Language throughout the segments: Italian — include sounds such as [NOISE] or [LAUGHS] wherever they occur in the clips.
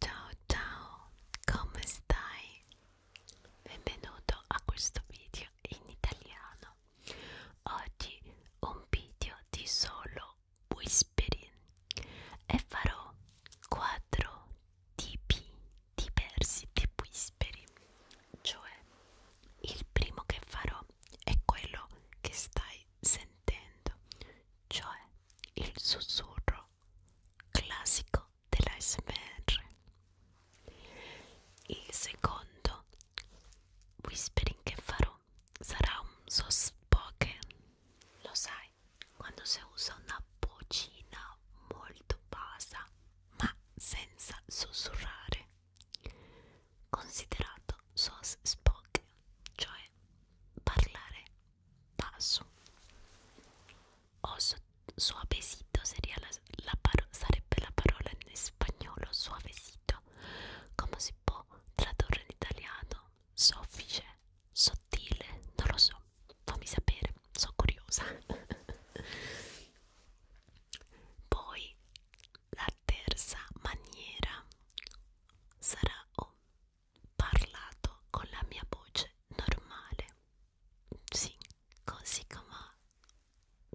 Ciao ciao, come stai? Benvenuto a questo video in italiano. Oggi un video di solo whispering e farò quattro tipi diversi di whispering. Cioè, il primo che farò è quello che stai sentendo, cioè il sussurro classico dell'ASMR. Il secondo whispering che farò sarà un soft spoken. Lo sai, quando si usa una vocina molto bassa ma senza sussurrare, considerato soft spoken, cioè parlare paso. O so, suavecito sería la, la paro, sarebbe la parola in spagnolo suavecito. Come si può tradurre in italiano? Soffice, sottile, non lo so. Fammi sapere, sono curiosa. [LAUGHS] Poi la terza maniera sarà o parlato con la mia voce normale. Sì, così come,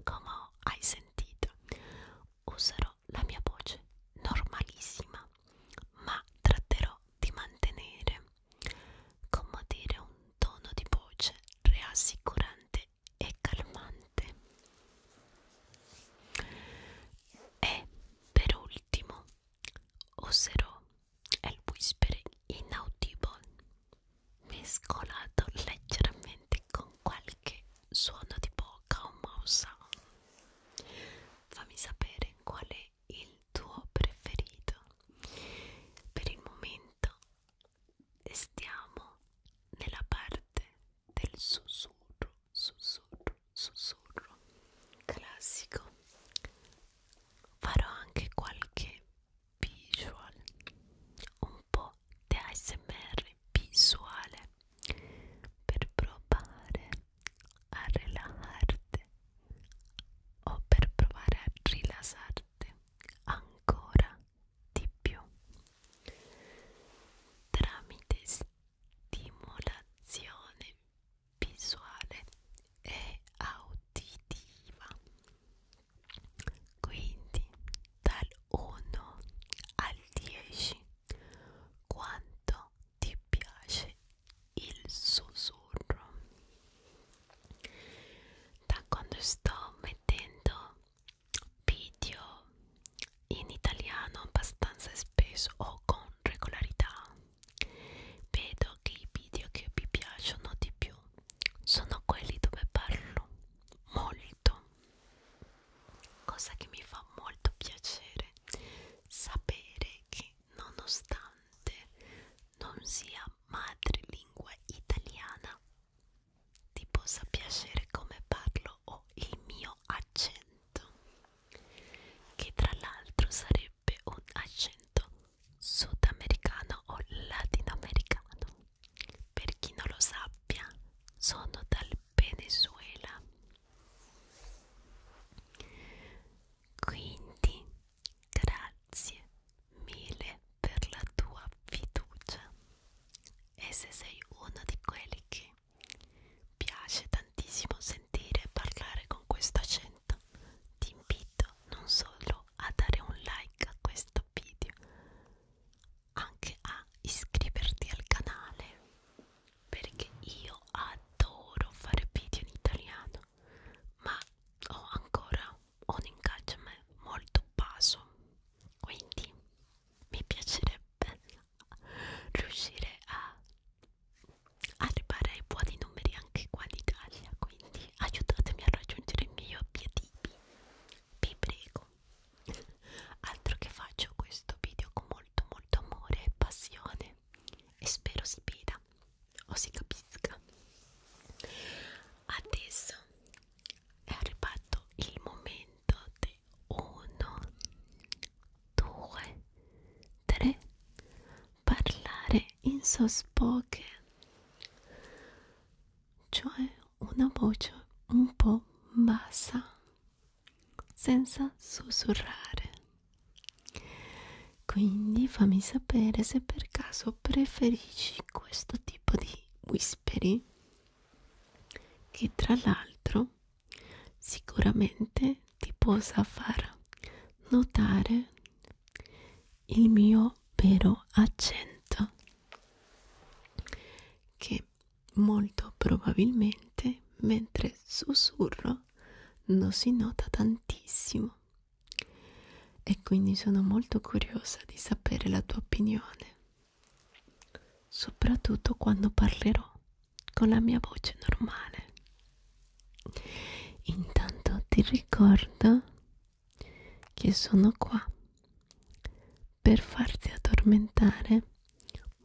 come hai sentito. Userò la mia voce normalissima, ma tratterò di mantenere, come dire, un tono di voce rassicurante e calmante. E per ultimo Osserò il whispering inaudibile, mescolato leggermente con qualche suono di bocca o mouse. Fammi sapere qual è il tuo preferito. Per il momento stiamo nella parte del sussurro, sussurro, sussurro classico farò anche qualche visual un po' di ASMR visuale per provare a rilassarti o per provare a rilassarti ancora di più tramite stimolazione visuale e auditiva quindi dal 1 al 10 quanto ti piace il sussurro da quando sto mettendo video in italiano abbastanza spesso o con regolarità. Vedo che i video che vi piacciono di più sono quelli dove parlo molto, cosa che mi fa molto piacere sapere che nonostante non sia madrelingua italiana ti possa piacere come parlo o il mio accento accento che tra l'altro sarebbe un accento sudamericano o latinoamericano per chi non lo sappia sono dal Venezuela quindi grazie mille per la tua fiducia e se sei uno di quelli che Piace tantissimo sentire e parlare con questo accento. Ti invito non solo a dare un like a questo video, anche a iscriverti al canale perché io adoro fare video in italiano, ma ho ancora un engagement molto basso. Quindi mi piacerebbe riuscire a arrivare ai buoni numeri anche qua in Italia quindi aiutatemi a raggiungere i miei obiettivi vi prego altro che faccio questo video con molto molto amore e passione e spero si veda o si capisca adesso è arrivato il momento del 1, 2, 3. Parlare in sospocche, cioè una voce un po' bassa, senza sussurrare. Quindi fammi sapere se per caso preferisci questo tipo di whispering che tra l'altro sicuramente ti possa far notare il mio vero accento che molto probabilmente mentre sussurro non si nota tantissimo e quindi sono molto curiosa di sapere la tua opinione soprattutto quando parlerò con la mia voce normale. Intanto ti ricordo che sono qua per farti addormentare,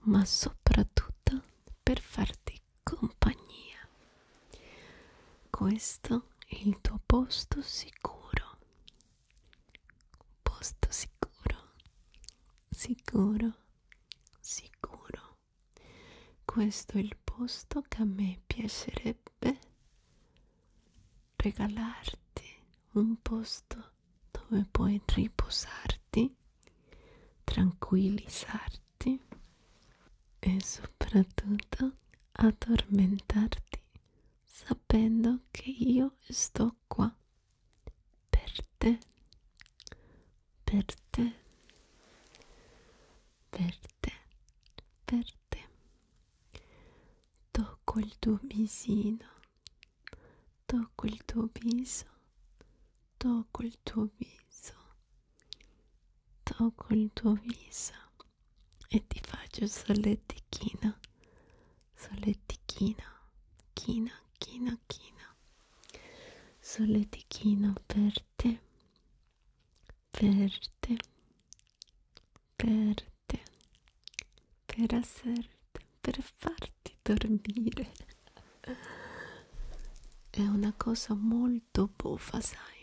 ma soprattutto per farti compagnia. Questo è il tuo posto sicuro. Posto sicuro sicuro, sicuro. Questo è il posto che a me piacerebbe regalarti, un posto dove puoi riposarti, tranquillizzarti e soprattutto addormentarti sapendo che io sto qua per te, per te, per te, per te. Tocco il tuo visino, tocco il tuo viso, tocco il tuo viso, tocco il tuo viso e ti faccio solletichino solletichina, china, china, china, solletichina per te, per te, per te, per asserti, per farti dormire. È una cosa molto buffa, sai.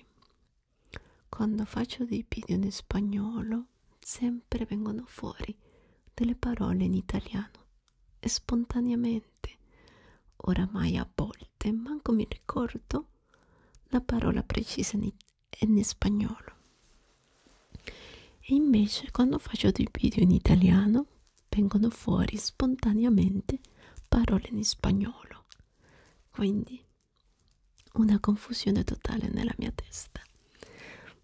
Quando faccio dei video in spagnolo sempre vengono fuori delle parole in italiano spontaneamente, oramai a volte manco mi ricordo la parola precisa in, in spagnolo. E invece quando faccio dei video in italiano vengono fuori spontaneamente parole in spagnolo. Quindi una confusione totale nella mia testa.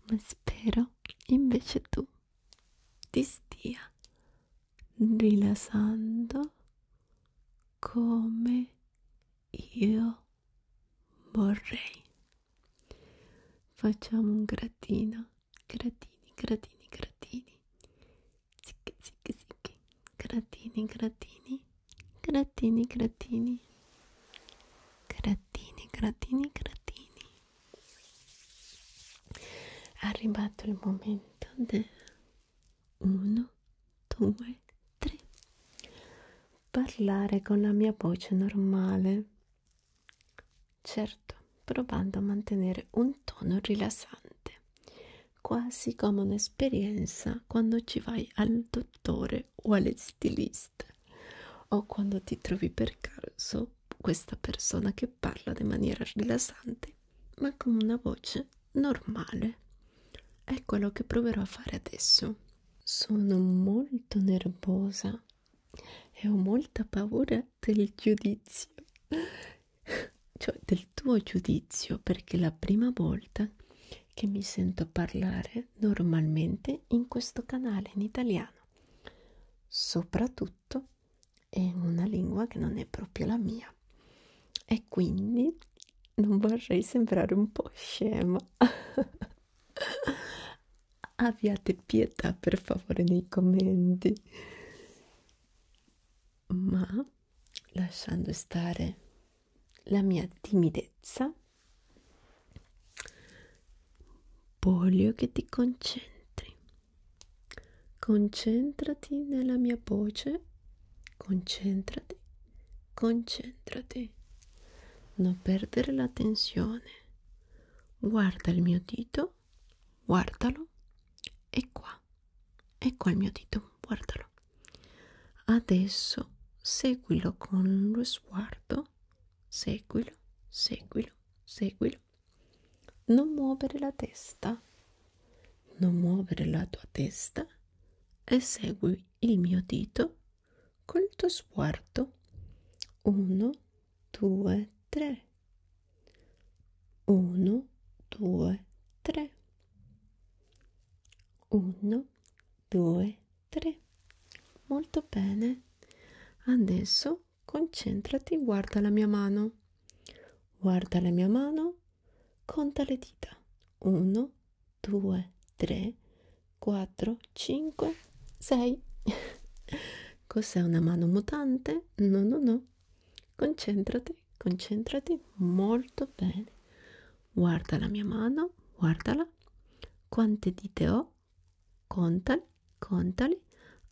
Ma spero invece tu ti stia rilassando come io vorrei. Facciamo un gratino, gratini, gratini, gratini. Zicchi, zicchi, zicchi. Gratini, gratini, gratini, gratini. Gratini, gratini, gratini è arrivato il momento del 1 2 3 parlare con la mia voce normale certo provando a mantenere un tono rilassante quasi come un'esperienza quando ci vai al dottore o alle stiliste o quando ti trovi per caso sento questa persona che parla in maniera rilassante, ma con una voce normale. È quello che proverò a fare adesso. Sono molto nervosa e ho molta paura del giudizio, cioè del tuo giudizio, perché è la prima volta che mi sento parlare normalmente in questo canale in italiano italiano, soprattutto in una lingua che non è proprio la mia e quindi non vorrei sembrare un po' scema. [LAUGHS] Abbiate pietà per favore nei commenti. Ma lasciando stare la mia timidezza, voglio che ti concentri. Concentrati nella mia voce. Concentrati, concentrati. Non perdere l'attenzione. Guarda il mio dito, guardalo. E qua, e qua il mio dito, guardalo. Adesso seguilo con lo sguardo, seguilo, seguilo seguilo. Non muovere la testa, non muovere la tua testa e segui il mio dito col tuo sguardo. 1, 2, 3. 1, 2, 3. 1, 2, 3 molto bene adesso concentrati guarda la mia mano guarda la mia mano conta le dita 1 2 3 4 5 6 cos'è una mano mutante no no no concentrati concentrati molto bene guarda la mia mano guardala quante dita ho contali, contali.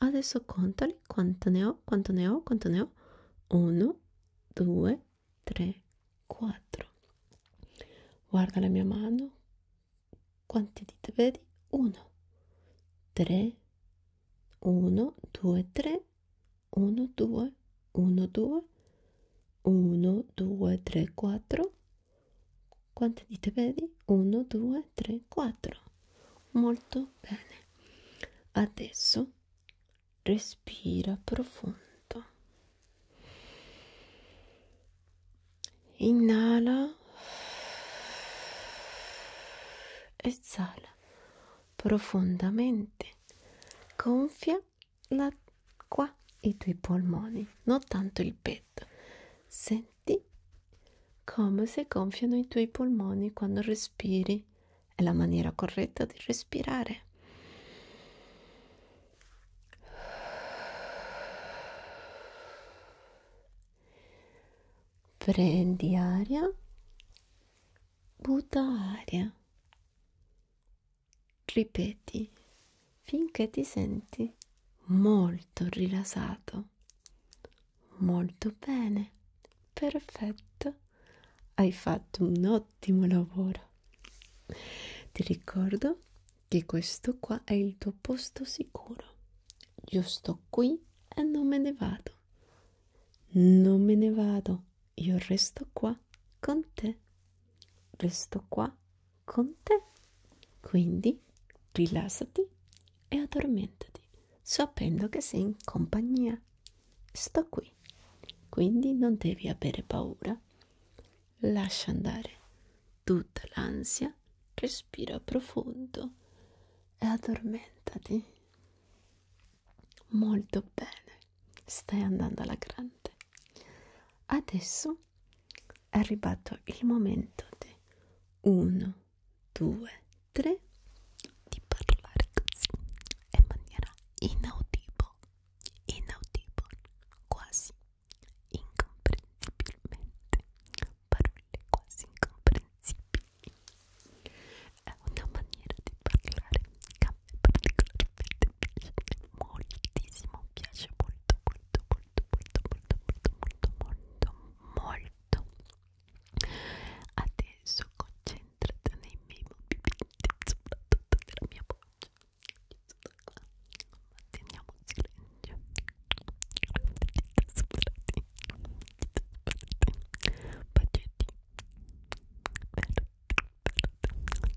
Adesso contali quanto ne ho, quanto ne ho, quanto ne ho. 1, 2, 3, 4. Guarda la mia mano. Quante dita vedi? 1, 3, 1, 2, 3, 1, 2, 1, 2, 1, 2, 3, 4, quante dita vedi? 1, 2, 3, 4. Molto bene. Adesso respira profondo. Inhala. Esala profondamente. Gonfia la, qua i tuoi polmoni, non tanto il petto. Senti senti come si gonfiano i tuoi polmoni quando respiri. È la maniera corretta di respirare. Prendi aria, butta aria, ripeti finché ti senti molto rilassato. Molto bene, perfetto, hai fatto un ottimo lavoro. Ti ricordo che questo qua è il tuo posto sicuro. Io sto qui e non me ne vado. Non me ne vado, io resto qua con te. Resto qua con te. Quindi rilassati e addormentati, sapendo che sei in compagnia. Sto qui, quindi non devi avere paura. Lascia andare tutta l'ansia, respira profondo e addormentati. Molto bene, stai andando alla grande. Adesso è arrivato il momento di 1, 2, 3 di parlare così in maniera inaudibile, inaudibile, quasi incomprensibilmente, parole quasi incomprensibili. È una maniera di parlare che a me particolarmente piace moltissimo, piace molto, molto, molto molto molto molto molto molto molto adesso concentrata nei miei movimenti soprattutto della mia voce manteniamo il silenzio soprati bacetti verde verde verde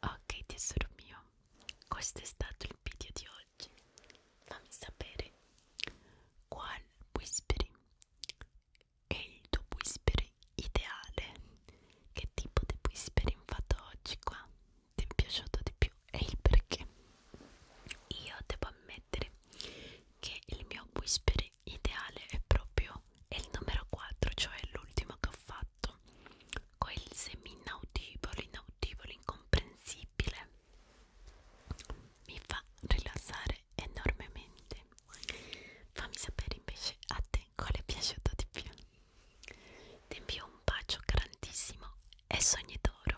Ok tesoro mio, questo è stato il video di oggi. Fammi sapere qual whispering è il tuo whispering ideale. Che tipo di whispering fatto oggi qua ti è piaciuto di più e il perché. Io devo ammettere che il mio whisper ideale è proprio è il numero 4, cioè l'ultimo che ho fatto, quel semi-inaudibile, inaudibile, incomprensibile. Mi fa rilassare enormemente. Fammi sapere invece a te quale è piaciuto di più. Ti invio un bacio grandissimo e sogni d'oro.